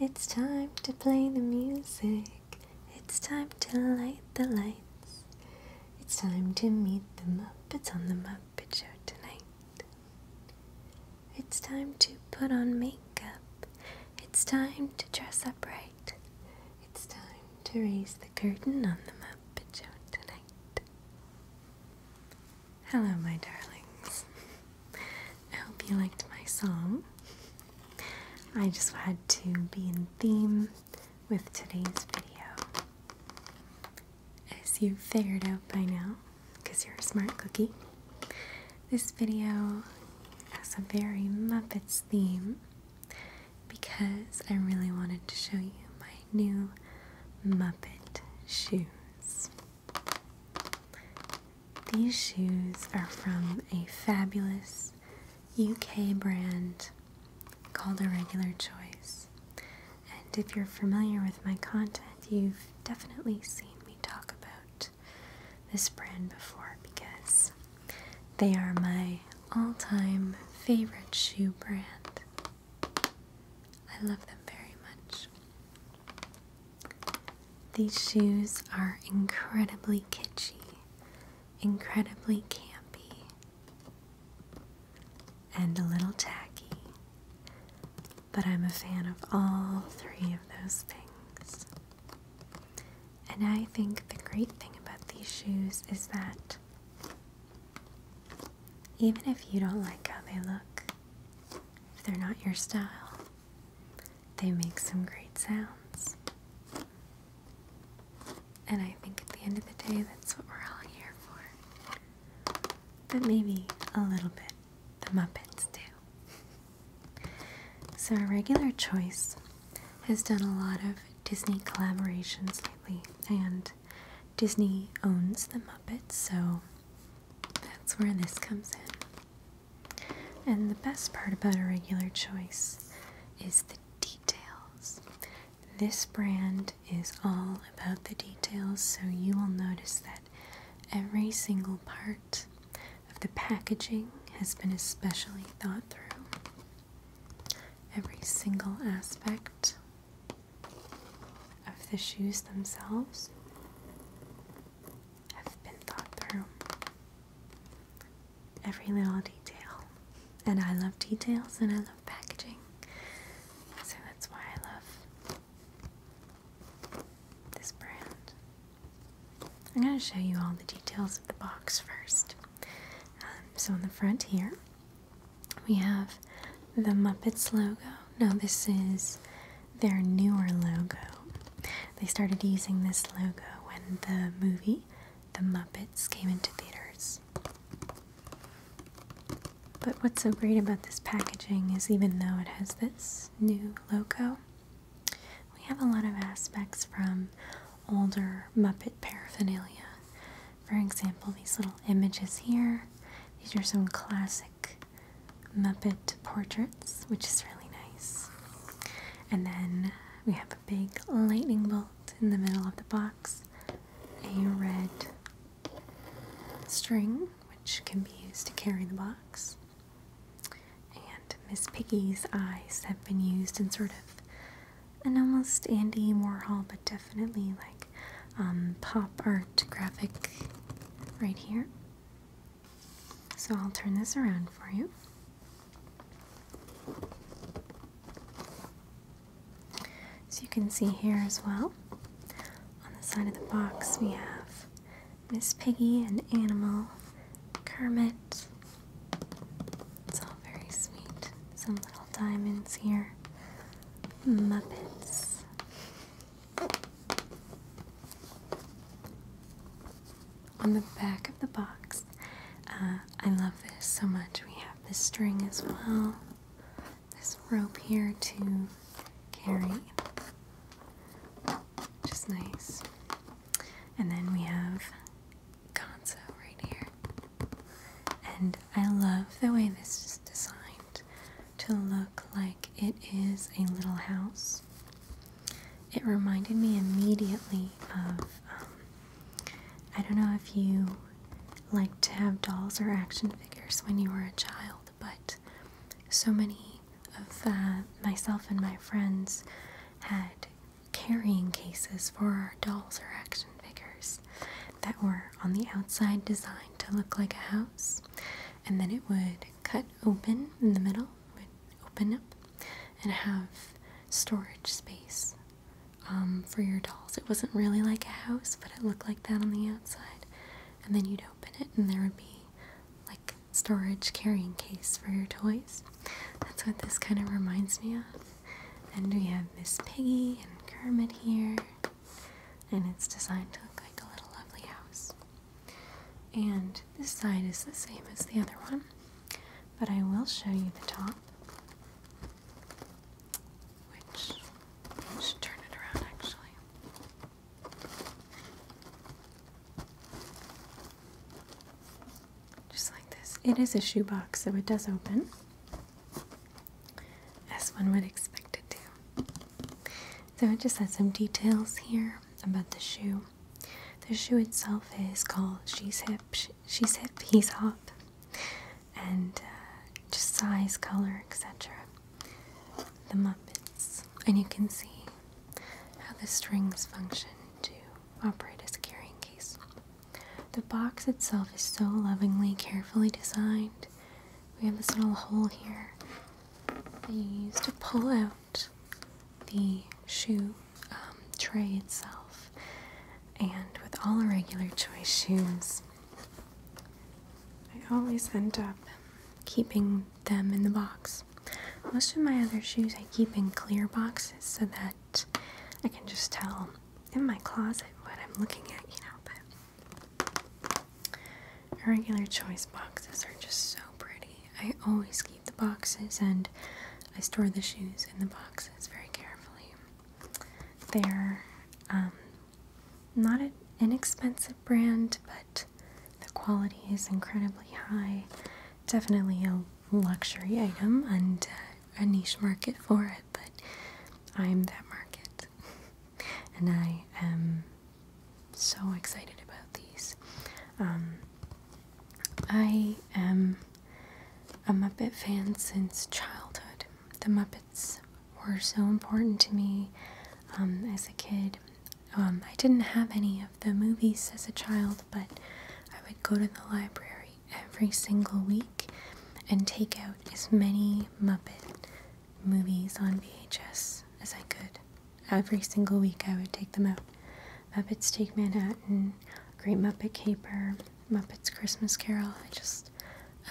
It's time to play the music. It's time to light the lights. It's time to meet the Muppets on the Muppet Show tonight. It's time to put on makeup. It's time to dress up right. It's time to raise the curtain on the Muppet Show tonight. Hello, my darlings. I hope you liked my song. I just had to be in theme with today's video. As you figured out by now, because you're a smart cookie, this video has a very Muppets theme because I really wanted to show you my new Muppet shoes. These shoes are from a fabulous UK brand called Irregular Choice. And if you're familiar with my content, you've definitely seen me talk about this brand before because they are my all time favorite shoe brand. I love them very much. These shoes are incredibly kitschy, incredibly campy, and a little tacky, but I'm a fan of all three of those things. And I think the great thing about these shoes is that even if you don't like how they look, if they're not your style, they make some great sounds. And I think at the end of the day, that's what we're all here for. But maybe a little bit, the Muppets do. so, our regular choice has done a lot of Disney collaborations lately, and Disney owns the Muppets, so that's where this comes in. And the best part about a regular choice is the details. This brand is all about the details, so you will notice that every single part of the packaging has been especially thought through. Every single aspect of the shoes themselves have been thought through. Every little detail. And I love details and I love packaging. So that's why I love this brand. I'm going to show you all the details of the box first. Um, so on the front here, we have the Muppets logo now, this is their newer logo. They started using this logo when the movie The Muppets came into theaters. But what's so great about this packaging is even though it has this new logo, we have a lot of aspects from older Muppet paraphernalia. For example, these little images here, these are some classic Muppet portraits, which is really nice. And then we have a big lightning bolt in the middle of the box, a red string, which can be used to carry the box. And Miss Piggy's eyes have been used in sort of an almost Andy Warhol, but definitely like um, pop art graphic right here. So I'll turn this around for you. So you can see here as well, on the side of the box we have Miss Piggy and Animal, Kermit. It's all very sweet. Some little diamonds here. Muppets. On the back of the box, uh, I love this so much. We have this string as well, this rope here to carry, which nice. And then we have Gonzo right here. And I love the way this is designed to look like it is a little house. It reminded me immediately of, um, I don't know if you like to have dolls or action figures when you were a child, but so many of uh, myself and my friends had carrying cases for our dolls or action figures that were on the outside designed to look like a house and then it would cut open in the middle, would open up, and have storage space um, for your dolls. It wasn't really like a house, but it looked like that on the outside. And then you'd open it, and there would be like storage carrying case for your toys. That's what this kind of reminds me of. And we have Miss Piggy and Kermit here and it's designed to look like a little lovely house. And this side is the same as the other one, but I will show you the top, which I turn it around actually. Just like this. It is a shoebox, so it does open as one would expect it to. So it just has some details here about the shoe. The shoe itself is called She's Hip, She's Hip, He's Hop, and uh, just size, color, etc. The Muppets, and you can see how the strings function to operate as a carrying case. The box itself is so lovingly, carefully designed we have this little hole here that you use to pull out the shoe um, tray itself. And with all our regular choice shoes, I always end up keeping them in the box. Most of my other shoes I keep in clear boxes so that I can just tell in my closet what I'm looking at, you know, but Regular choice boxes are just so pretty. I always keep the boxes and I store the shoes in the boxes very carefully. They're um, not an inexpensive brand, but the quality is incredibly high. Definitely a luxury item and a niche market for it, but I'm that market and I am so excited about these. Um, I am a Muppet fan since childhood. The Muppets were so important to me um, as a kid. Um, I didn't have any of the movies as a child, but I would go to the library every single week and take out as many Muppet movies on VHS as I could. Every single week I would take them out. Muppets Take Manhattan, Great Muppet Caper, Muppets Christmas Carol. I just,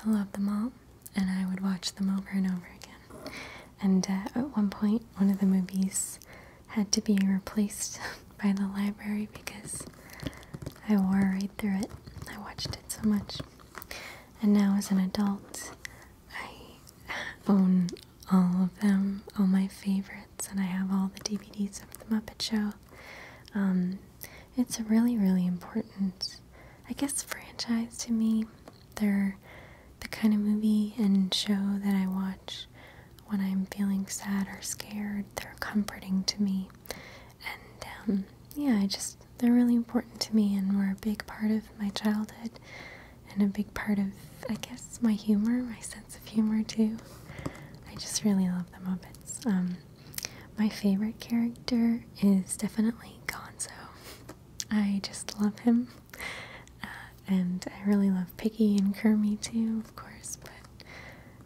I love them all and I would watch them over and over again. And uh, at one point, one of the movies had to be replaced by the library because I wore right through it. I watched it so much and now as an adult, I own all of them, all my favorites, and I have all the DVDs of The Muppet Show. Um, it's really, really important, I guess, franchise to me. They're the kind of movie and show that I watch when I'm feeling sad or scared. They're comforting to me. And um, yeah, I just they're really important to me and were a big part of my childhood and a big part of, I guess, my humor, my sense of humor too. I just really love the Muppets. Um, my favorite character is definitely Gonzo. I just love him. Uh, and I really love Piggy and Kermit too, of course, but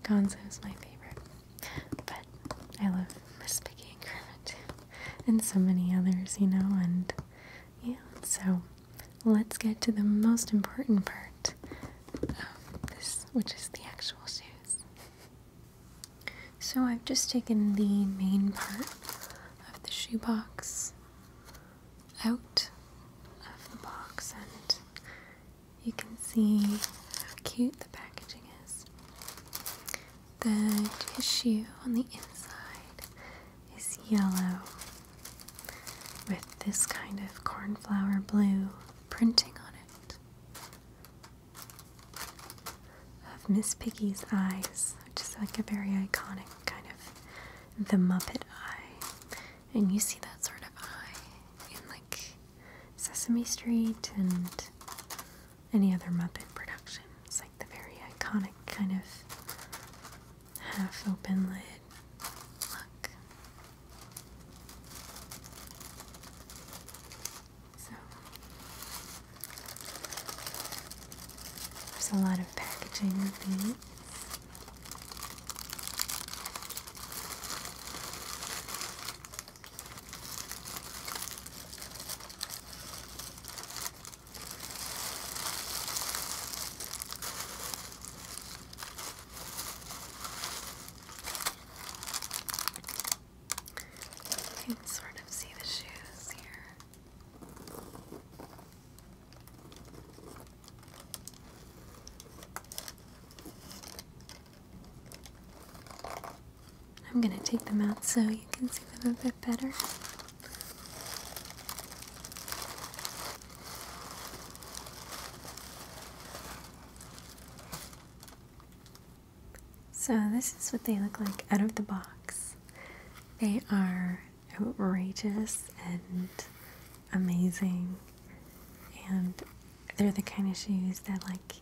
Gonzo is my favorite. But I love Miss Piggy and so many others, you know, and yeah, so let's get to the most important part of this, which is the actual shoes. So I've just taken the main part of the shoe box out of the box and you can see how cute the packaging is. The tissue on the inside is yellow with this kind of cornflower blue printing on it of Miss Piggy's eyes, which is like a very iconic kind of the Muppet eye. And you see that sort of eye in like Sesame Street and any other Muppet production. It's like the very iconic kind of half open lid look. So, there's a lot of packaging with these. You can sort of see the shoes here. I'm going to take them out so you can see them a bit better. So this is what they look like out of the box. They are outrageous and amazing and they're the kind of shoes that like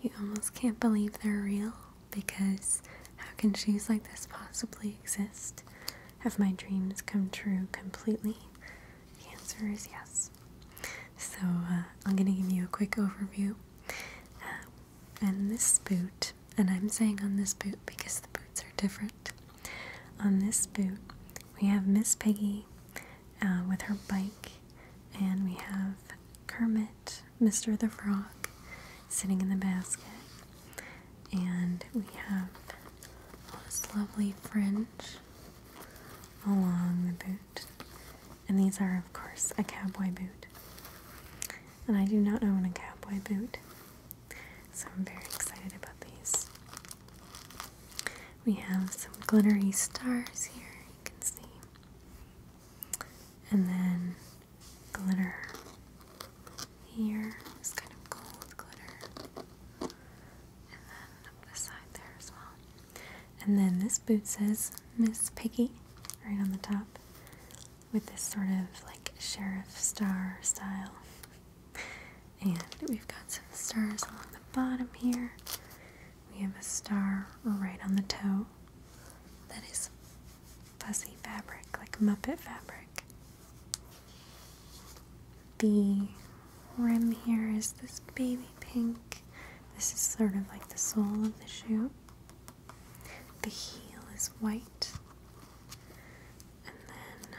you almost can't believe they're real because how can shoes like this possibly exist? Have my dreams come true completely? The answer is yes. So uh, I'm going to give you a quick overview. Uh, and this boot, and I'm saying on this boot because the boots are different. On this boot, we have Miss Piggy uh, with her bike, and we have Kermit, Mr. the Frog, sitting in the basket, and we have this lovely fringe along the boot. And these are, of course, a cowboy boot. And I do not own a cowboy boot, so I'm very excited about these. We have some glittery stars here, you can see. And then glitter here is kind of gold glitter. And then up the side there as well. And then this boot says Miss Piggy right on the top with this sort of like sheriff star style. And we've got some stars along the bottom here. We have a star right on the toe that is fuzzy fabric, like Muppet fabric. The rim here is this baby pink. This is sort of like the sole of the shoe. The heel is white. And then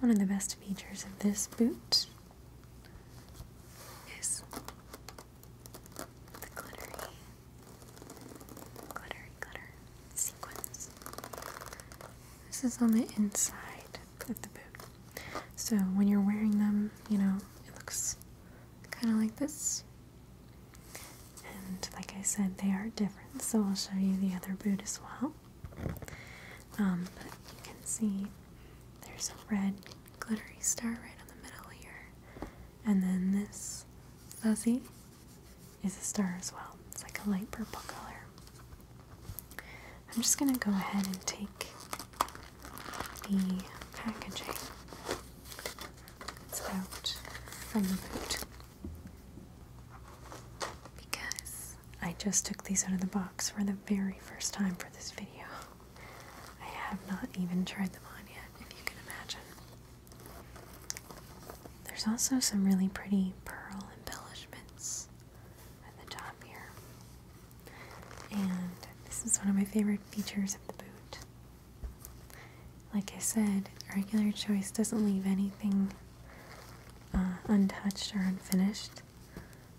one of the best features of this boot is the glittery, glittery, glitter sequins. This is on the inside of the boot. So when you're wearing them, you know, it looks kind of like this. And like I said, they are different, so I'll show you the other boot as well. Um, but you can see there's a red glittery star right in the middle here. And then this fuzzy is a star as well. It's like a light purple color. I'm just going to go ahead and take the packaging that's out from the boot because I just took these out of the box for the very first time for this video. I have not even tried them on yet, if you can imagine. There's also some really pretty pearl embellishments at the top here. And this is one of my favorite features of the boot. Like I said, regular choice doesn't leave anything uh, untouched or unfinished.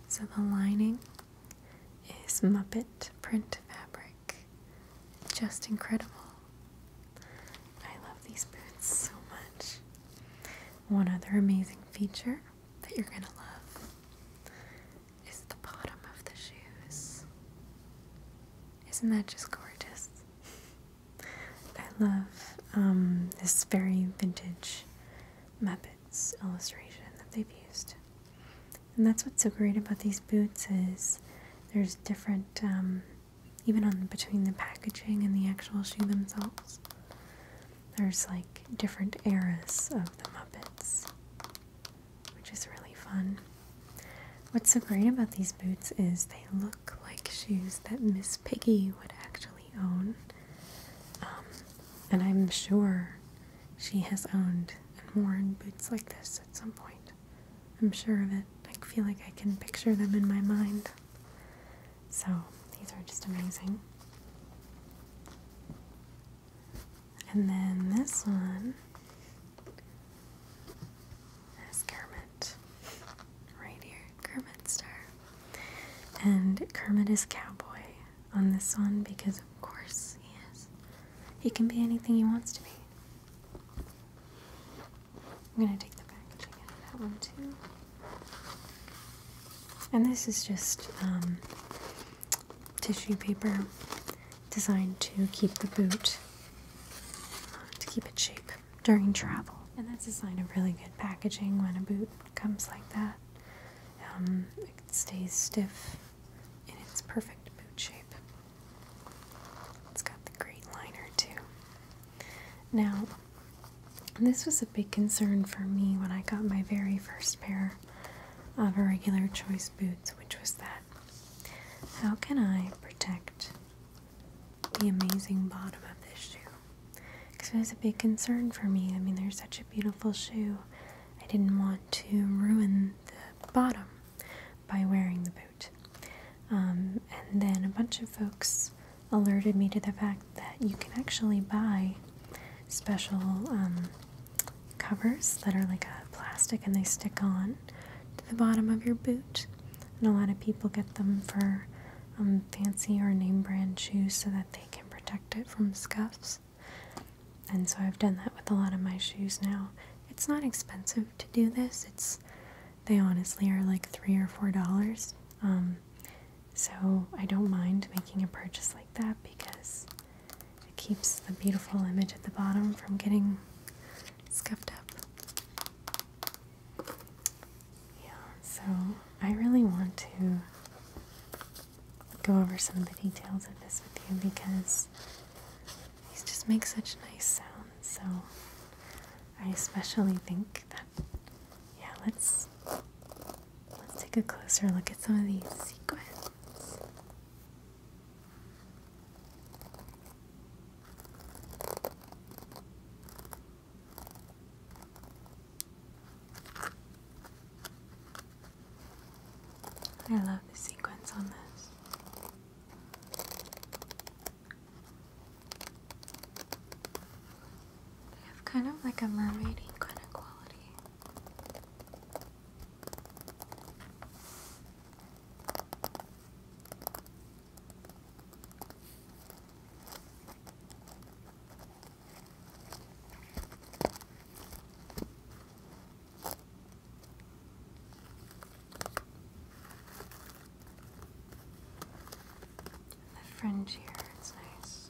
So the lining is Muppet print fabric. Just incredible. I love these boots so much. One other amazing feature that you're going to love is the bottom of the shoes. Isn't that just gorgeous? I love um, this very vintage Muppet illustration that they've used. And that's what's so great about these boots is there's different, um, even on between the packaging and the actual shoe themselves, there's like different eras of the Muppets, which is really fun. What's so great about these boots is they look like shoes that Miss Piggy would actually actually um, and I'm sure she has owned and worn boots like this at some point. I'm sure of it. I feel like I can picture them in my mind. So these are just amazing. And then this one is Kermit. Right here, Kermit Star. And Kermit is cowboy, on this one because, of course, he is. He can be anything he wants to be. I'm gonna take the packaging out of that one too. And this is just um, tissue paper designed to keep the boot, um, to keep it shape during travel. And that's a sign of really good packaging when a boot comes like that. Um, it stays stiff in its perfect boot shape. It's got the great liner too. Now, this was a big concern for me when I got my very first pair of irregular choice boots, which was that how can I protect the amazing bottom of this shoe because it was a big concern for me. I mean, there's such a beautiful shoe. I didn't want to ruin the bottom by wearing the boot. Um, and then a bunch of folks alerted me to the fact that you can actually buy special um, covers that are like a plastic and they stick on to the bottom of your boot. And a lot of people get them for um, fancy or name brand shoes so that they can protect it from scuffs. And so I've done that with a lot of my shoes now. It's not expensive to do this. It's they honestly are like three or four dollars. Um, so I don't mind making a purchase like that because it keeps the beautiful image at the bottom from getting scuffed up. Yeah, so I really want to go over some of the details of this with you because these just make such nice sounds. So I especially think that yeah, let's let's take a closer look at some of these sequins. I love the sequence on this. They kind of like a mermaiding kind of quality. The fringe here, it's nice.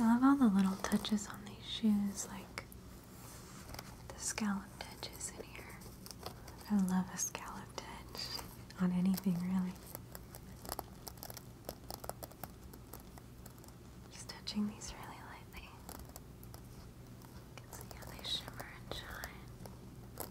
I love all the little touches on these shoes, like the scalloped edges in here. I love a scalloped edge on anything, really. Just touching these really lightly. You can they shimmer and shine.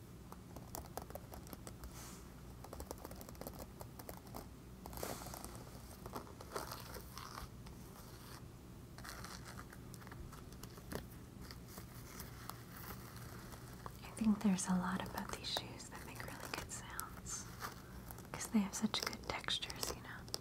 I think there's a lot about these shoes that make really good sounds because they have such good textures, you know.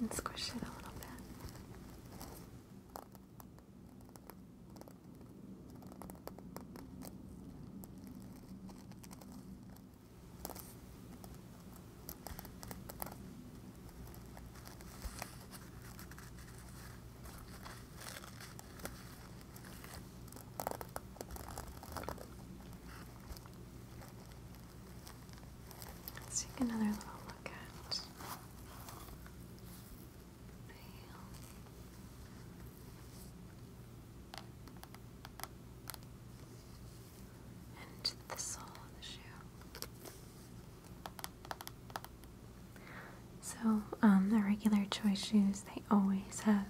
You can squish it a little bit. Let's take another little look at the heel. And the sole of the shoe. So, um, the regular choice shoes, they always have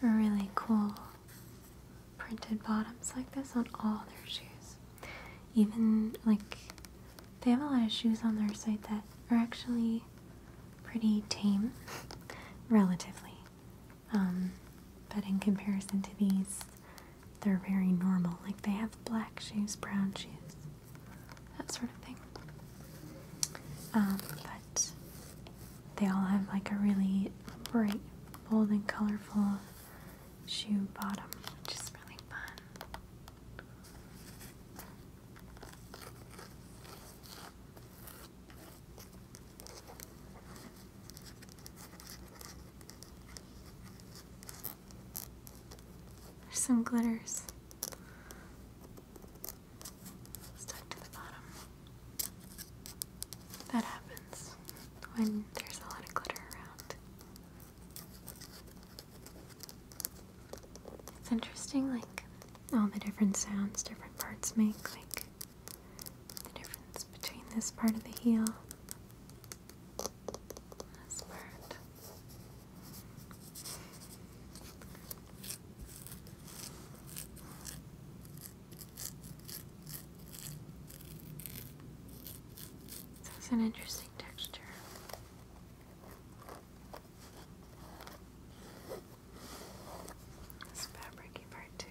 really cool printed bottoms like this on all their shoes. Even like they have a lot of shoes on their site that are actually pretty tame, relatively. Um, but in comparison to these, they're very normal. Like they have black shoes, brown shoes, that sort of thing. Um, but they all have like a really bright, bold, and colorful shoe bottom, which is really fun. There's some glitters stuck to the bottom. That happens when there's a lot of glitter around. It's interesting, like, all the different sounds different parts make, like, the difference between this part of the heel this part. That's an interesting texture. This fabricy part too.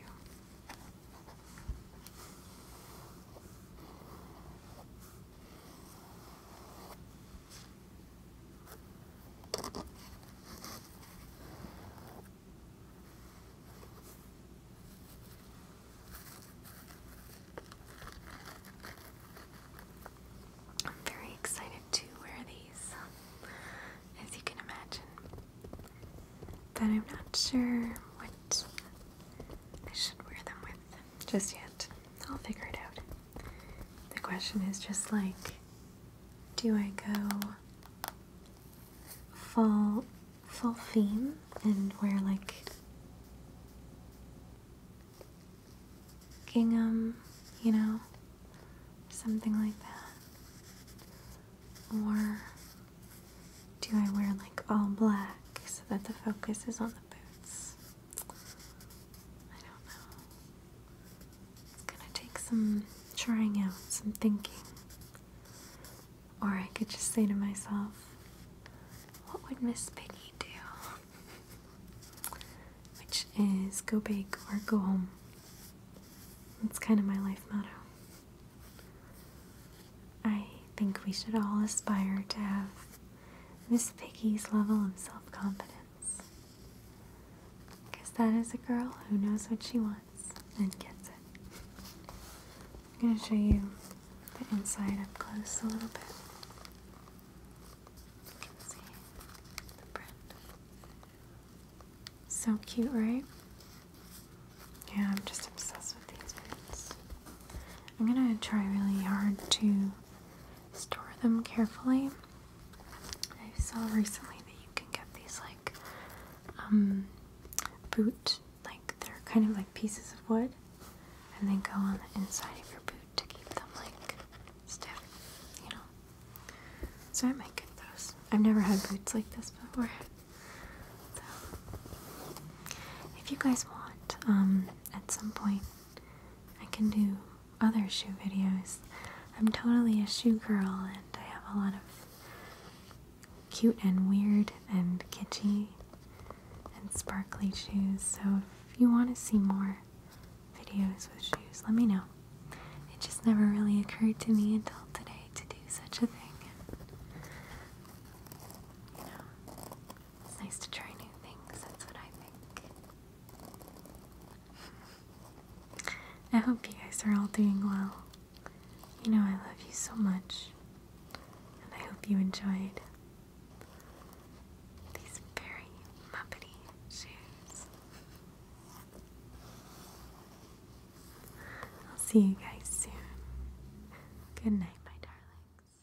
I'm very excited to wear these, as you can imagine. But I'm not sure what I should wear them with just yet. I'll figure it out. The question is just like, do I go full full theme and wear like gingham, you know, something like that? Or do I wear like all black so that the focus is on the boots. I don't know. gonna take some trying out, some thinking. Or I could just say to myself, what would Miss Piggy do? Which is go big or go home. That's kind of my life motto. I think we should all aspire to have Miss Piggy's level of self confidence. Because that is a girl who knows what she wants and gets it. I'm going to show you the inside up close a little bit. see the print. So cute, right? Yeah, I'm just obsessed with these boots. I'm gonna try really hard to store them carefully. I saw recently that you can get these like um, boot, like they're kind of like pieces of wood, and they go on the inside of your boot to keep them like stiff, you know. So I might get those. I've never had boots like this before. So if you guys want, um, at some point, I can do other shoe videos. I'm totally a shoe girl and I have a lot of cute and weird and kitschy and sparkly shoes. So if you want to see more videos with shoes, let me know. It just never really occurred to me until today to do such a thing. you know, it's nice to try new things. That's what I think. I hope you guys are all doing well. You know, I love you so much, and I hope you enjoyed these very muppety shoes. I'll see you guys soon. Good night, my darlings.